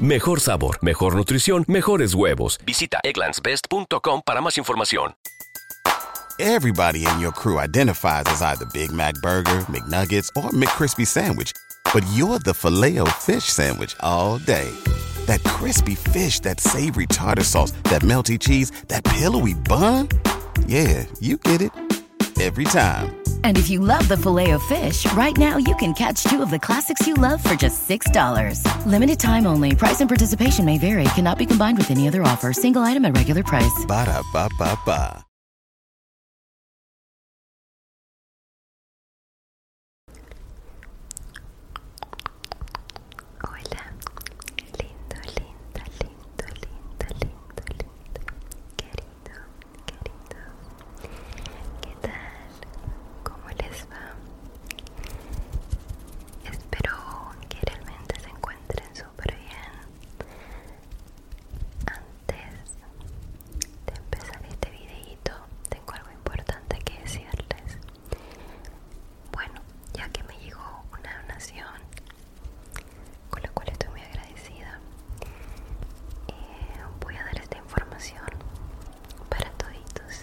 Mejor sabor, mejor nutrición, mejores huevos. Visita egglandsbest.com para más información. Everybody in your crew identifies as either Big Mac burger, McNuggets or McCrispy sandwich, but you're the Fileo fish sandwich all day. That crispy fish, that savory tartar sauce, that melty cheese, that pillowy bun? Yeah, you get it every time. And if you love the Fileo fish, right now you can catch two of the classics you love for just $6. Limited time only. Price and participation may vary. Cannot be combined with any other offer. Single item at regular price. Ba da ba Hola. Lindo, lindo, lindo, lindo, lindo, lindo. Querido, querido. ¿Qué tal? ¿Cómo les va? Espero que realmente se encuentren súper bien. Antes de empezar este videito, tengo algo importante que decirles. Bueno, ya que me llegó una donación con la cual estoy muy agradecida, eh, voy a dar esta información para toditos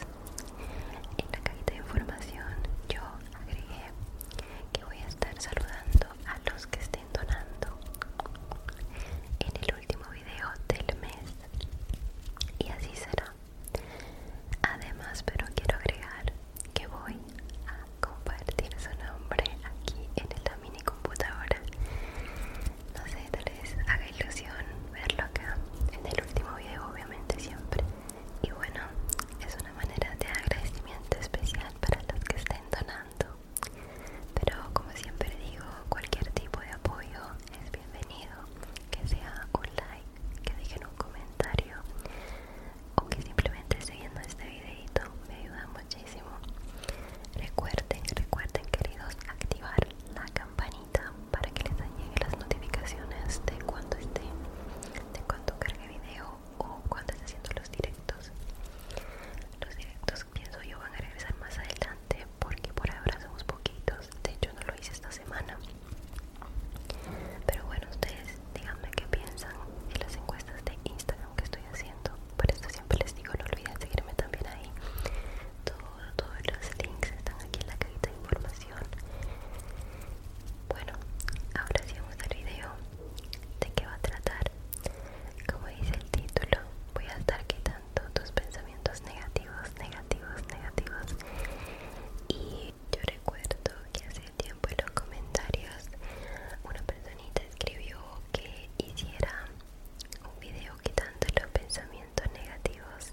en la cajita de información yo agregué que voy a estar saludando a los que estén donando en el último video del mes y así será además pero quiero agregar que voy a compartir su nombre aquí en el computadora. No sé, tal vez haga ilusión verlo acá en el último video, obviamente siempre. Y bueno, es una manera de agradecimiento especial para los que estén donando. Pero como siempre digo, cualquier tipo de apoyo es bienvenido. Que sea un like, que dejen un comentario o que simplemente siguiendo este videito me ayuda muchísimo. Recuerden, recuerden queridos, activar la campanita para que les lleguen las notificaciones de cuando esté, de cuando cargue video o cuando esté haciendo los directos. Los directos pienso yo van a regresar más adelante porque por ahora somos poquitos. De hecho no lo hice esta semana. Pero bueno, ustedes díganme qué piensan en las encuestas de Instagram que estoy haciendo por eso siempre les digo no olviden seguirme también ahí todos los links están aquí en la cajita de información bueno ahora sí vamos al video de qué va a tratar como dice el título voy a estar quitando tus pensamientos negativos negativos negativos y yo recuerdo que hace tiempo en los comentarios una personita escribió que hiciera un video quitando los pensamientos negativos,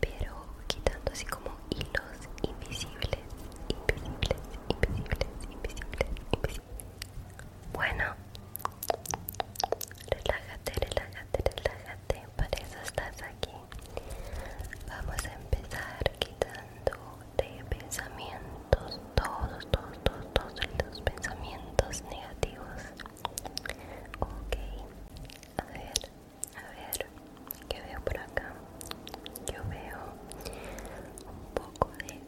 pero quitando así como hilos invisibles, invisibles, invisibles, invisibles, Bueno, relájate, relájate, relájate, para eso estás aquí. Vamos a empezar quitando de pensamientos todos, todos, todos, todos los pensamientos negativos. Ok, a ver, a ver, ¿qué veo por acá? Yo veo un poco de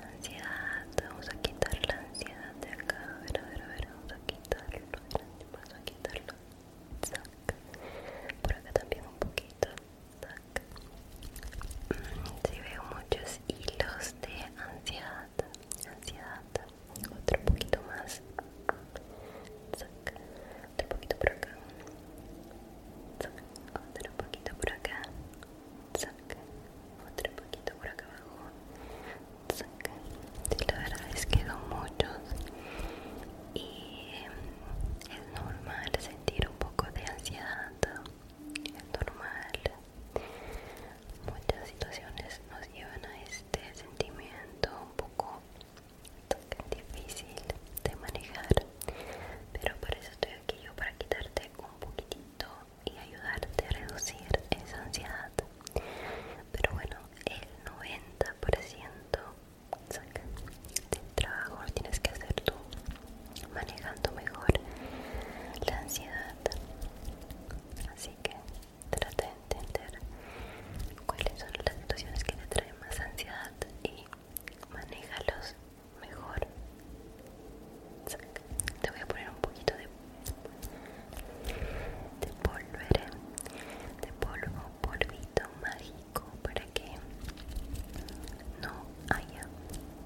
ansiedad. Vamos a quitar la ansiedad de acá. A ver, a ver, a ver, vamos a quitarlo. Vamos a quitarlo. Por acá también un poquito. Mm, si veo mucho y los de ansiedad, ansiedad, otro poquito más, otro poquito por acá, otro poquito por acá, otro poquito por acá abajo, la verdad es que son muchos y eh, es normal sentir un poco de ansiedad es normal muchas situaciones nos llevan a este sentimiento un poco difícil de manejar pero por eso estoy aquí yo para quitarte un poquitito y ayudarte a reducir esa ansiedad pero bueno el 90% del trabajo lo tienes que hacer tú manejando mejor la ansiedad. Así que trata de entender cuáles son las situaciones que te traen más ansiedad y manéjalos mejor. Te voy a poner un poquito de, de polvere, de polvo, polvito mágico para que no haya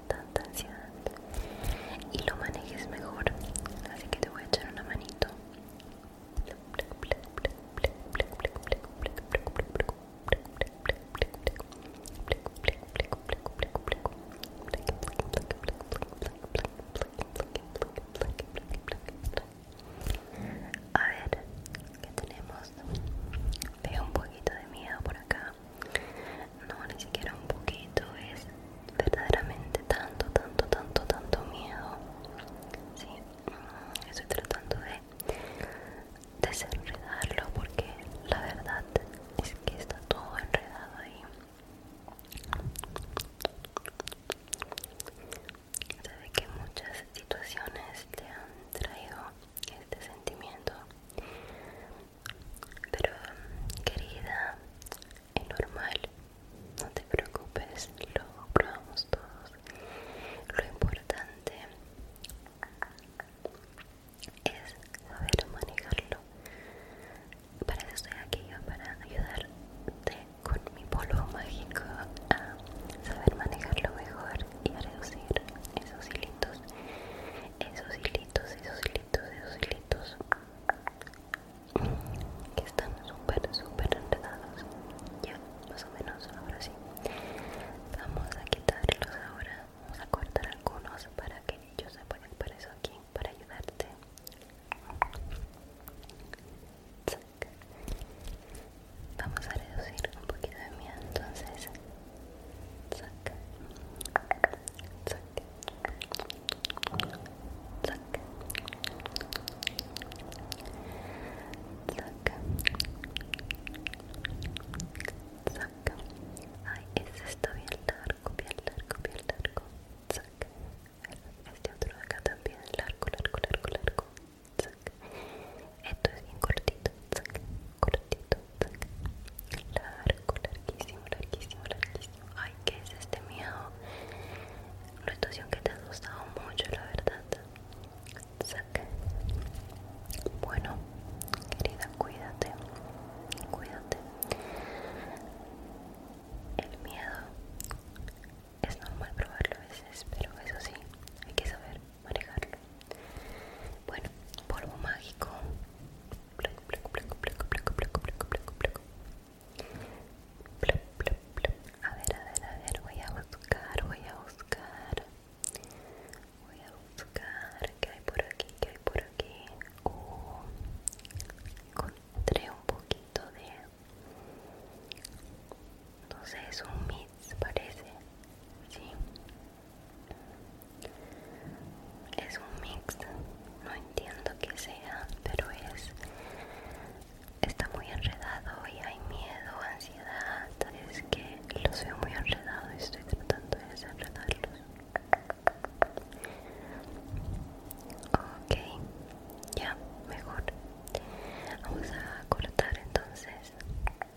tanta ansiedad y lo manejes mejor. Así que te voy a echar una manito. A ver, ¿qué tenemos? Veo un poquito de miedo por acá no ni siquiera un poquito es verdaderamente tanto tanto tanto tanto miedo sí mm, estoy tratando de desenredarlo porque la verdad es que está todo enredado ahí sabe que muchas situaciones te han traído este sentimiento pero querida, es normal, no te preocupes, lo probamos todos. Lo importante es saber manejarlo. Para eso estoy aquí, para ayudarte con mi polvo mágico a saber manejarlo mejor y a reducir esos hilitos, esos hilitos hilitos, esos hilitos, esos hilitos que están súper, súper enredados. Ya, más o menos, ahora sí. Vamos a quitarlos ahora. Vamos a cortar algunos para que ellos se puedan por eso aquí, para ayudarte. Vamos a reducir un poquito de miedo entonces zac zac zac zac zac Ay, ese está bien largo, bien largo, bien largo. zac Este otro acá también, largo, largo, largo, largo. zac Esto es bien cortito, Cortito, largo, larguísimo, larguísimo, larguísimo. Ay, ¿qué es este miedo? Una situación que te ha asustado mucho, la verdad. Saca. Bueno, querida, cuídate, cuídate. El miedo es normal probarlo a veces, pero eso sí, hay que saber manejarlo. Bueno, polvo mágico. A ver, a ver, a ver, voy a buscar, voy a buscar. Voy a buscar qué hay por aquí, qué hay por aquí. Oh, encontré un poquito de... No sé, es un mix, parece. Sí, es un mix, no entiendo qué sea, pero es está muy enredado y hay miedo, ansiedad, es que los veo muy enredados y estoy tratando de desenredarlos. Ok, ya, mejor. Vamos a cortar entonces.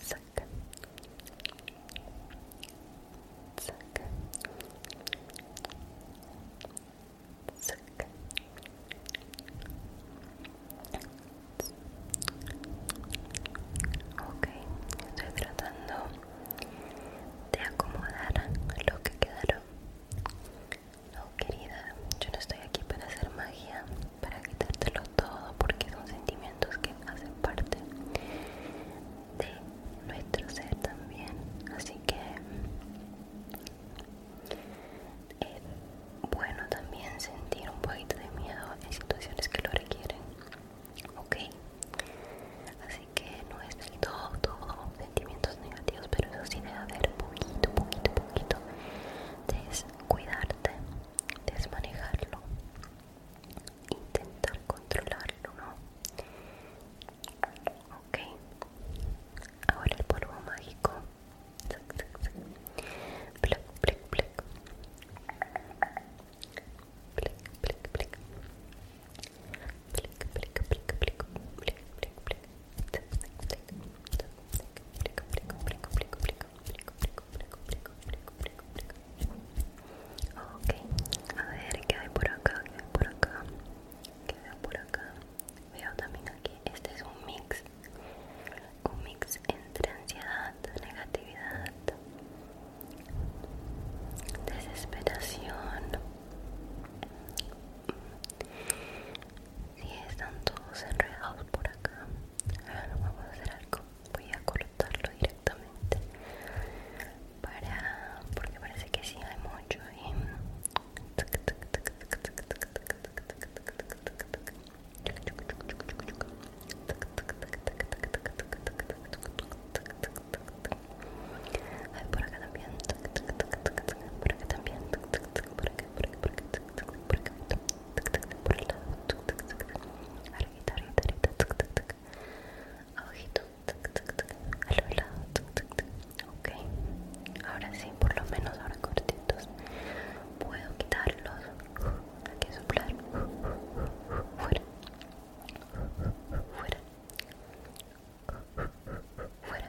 saca, Ok, estoy tratando de acomodar lo que quedaron. No, querida, yo no estoy aquí para hacer magia para quitártelo todo porque son sentimientos que hacen parte de nuestro ser también así que es eh, bueno también sentir un poquito de miedo en situaciones que lo requieren ok así que no es todo todo sentimientos negativos pero eso sí debe haber poquito poquito poquito de cuidarte, desmanejarlo, intentar controlarlo, ¿no? Ok, ahora el polvo mágico. Black, black, black. Black, black, black. Black, black, black, black. Black, black, black. Black, black, black. Black, black, black. Black, black, black. Ok, a ver qué hay por acá, qué hay por acá, qué veo por acá. Veo también aquí, este es un mix, un mix entre ansiedad, negatividad, desesperación, si están todos enredados por acá, ahora vamos a hacer algo. Voy a cortarlo directamente para porque parece que sí hay mucho y por acá también, por acá también, por acá, por acá, por acá, por acá, por el lado, ahora sí, por lo menos ahora cortitos, puedo quitarlos, hay que soplar, fuera, fuera, fuera,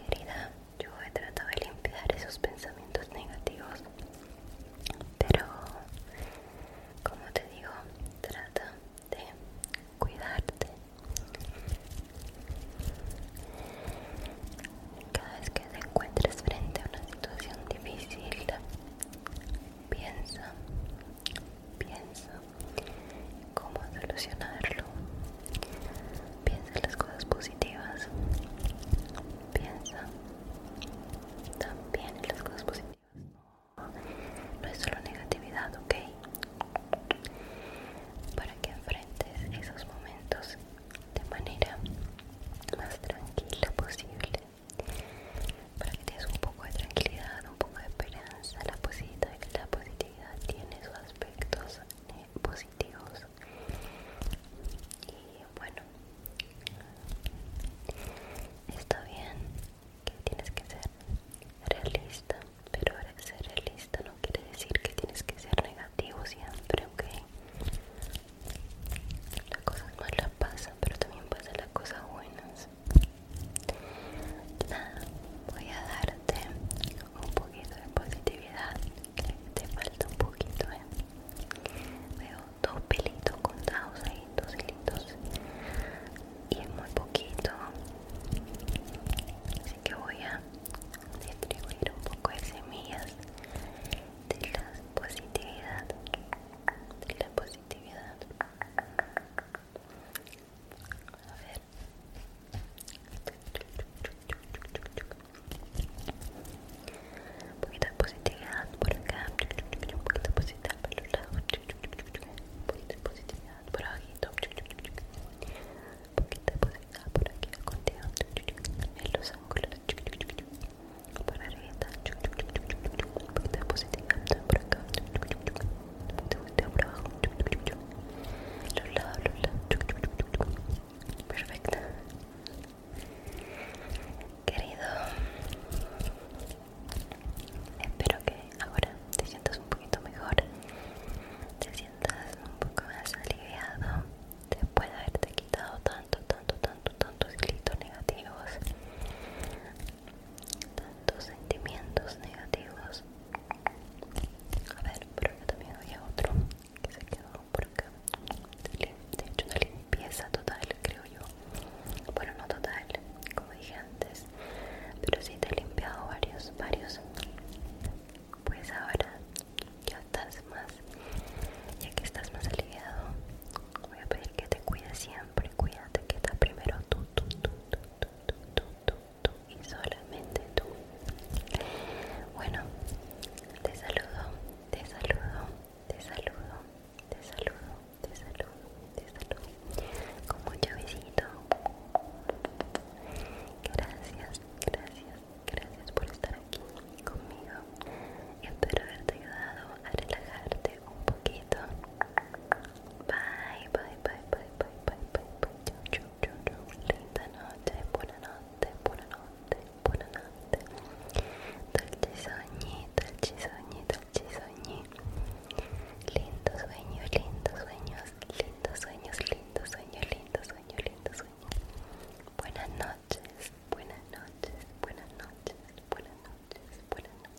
Querida, yo he tratado de limpiar esos pensamientos negativos, pero como te digo, trata de cuidarte. Cada vez que te encuentres frente a una situación difícil, piensa, piensa cómo solucionarlo. Piensa en las cosas positivas. Piensa también en las cosas positivas. No, es solo negatividad, ¿ok? Para que enfrentes esos momentos de manera más tranquila posible. Para que tengas un poco de tranquilidad, un poco de esperanza, la, positiva. la positividad tiene sus aspectos eh, positivos y bueno está bien que tienes que ser realista pero ser realista no quiere decir que tienes que ser negativo siempre ok las cosas malas pasan pero también pasan las cosas buenas voy a darte un poquito de positividad. te falta un poquito, ¿eh? Veo dos pelitos contados ahí, dos pelitos Y es muy poquito. Así que voy a distribuir un poco de semillas de la positividad. De la positividad. A ver. Un poquito de por acá. Un poquito de positividad por los lados. Un poquito de positividad por Un poquito de por aquí. En los Por Un poquito de positividad por acá los lados, los lados. Perfecto. Querido, espero que ahora te sientas un poquito mejor, te sientas un poco más aliviado después de haberte quitado tanto, tanto, tanto, tantos hilitos negativos tantos sentimientos negativos. A ver, pero también había otro que se quedó por acá. De hecho, una limpieza total, creo yo. Bueno, no total, como dije antes, pero sí te he limpiado varios, varios. Pues ahora ya estás más, ya que estás más aliviado, voy a pedir que te cuides siempre. Cuídate, que está primero tú, tú, tú, tú, tú, tú, tú tú y solamente tú. Bueno, te saludo, te saludo, te saludo, te saludo, te saludo, te saludo. Con mucho besito. Gracias, gracias, gracias por estar aquí conmigo. Espero haberte ayudado a relajarte un poquito Bye, bye, bye, bye, bye, bye, bye, Ciao, ciao, ciao, ciao. Linda notte, buonanotte, buonanotte, buonanotte. Dolci sogni, dolci sogni, dolci sogni. Lindo sueños, lindo sueños, lindo sueños, lindo sueños, lindo sueño, lindo sueño. Buenas noches, buenas noches, buenas noches, buenas noches, buenas noches.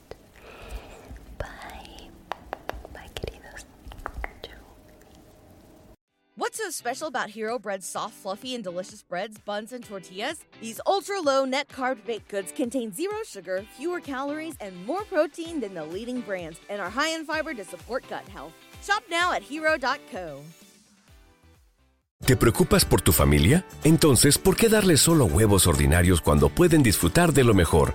What's so special about Hero Bread's soft, fluffy, and delicious breads, buns, and tortillas? These ultra low net carb baked goods contain zero sugar, fewer calories, and more protein than the leading brands, and are high in fiber to support gut health. Shop now at hero.co. ¿Te preocupas por tu familia? Entonces, ¿por qué darles solo huevos ordinarios cuando pueden disfrutar de lo mejor?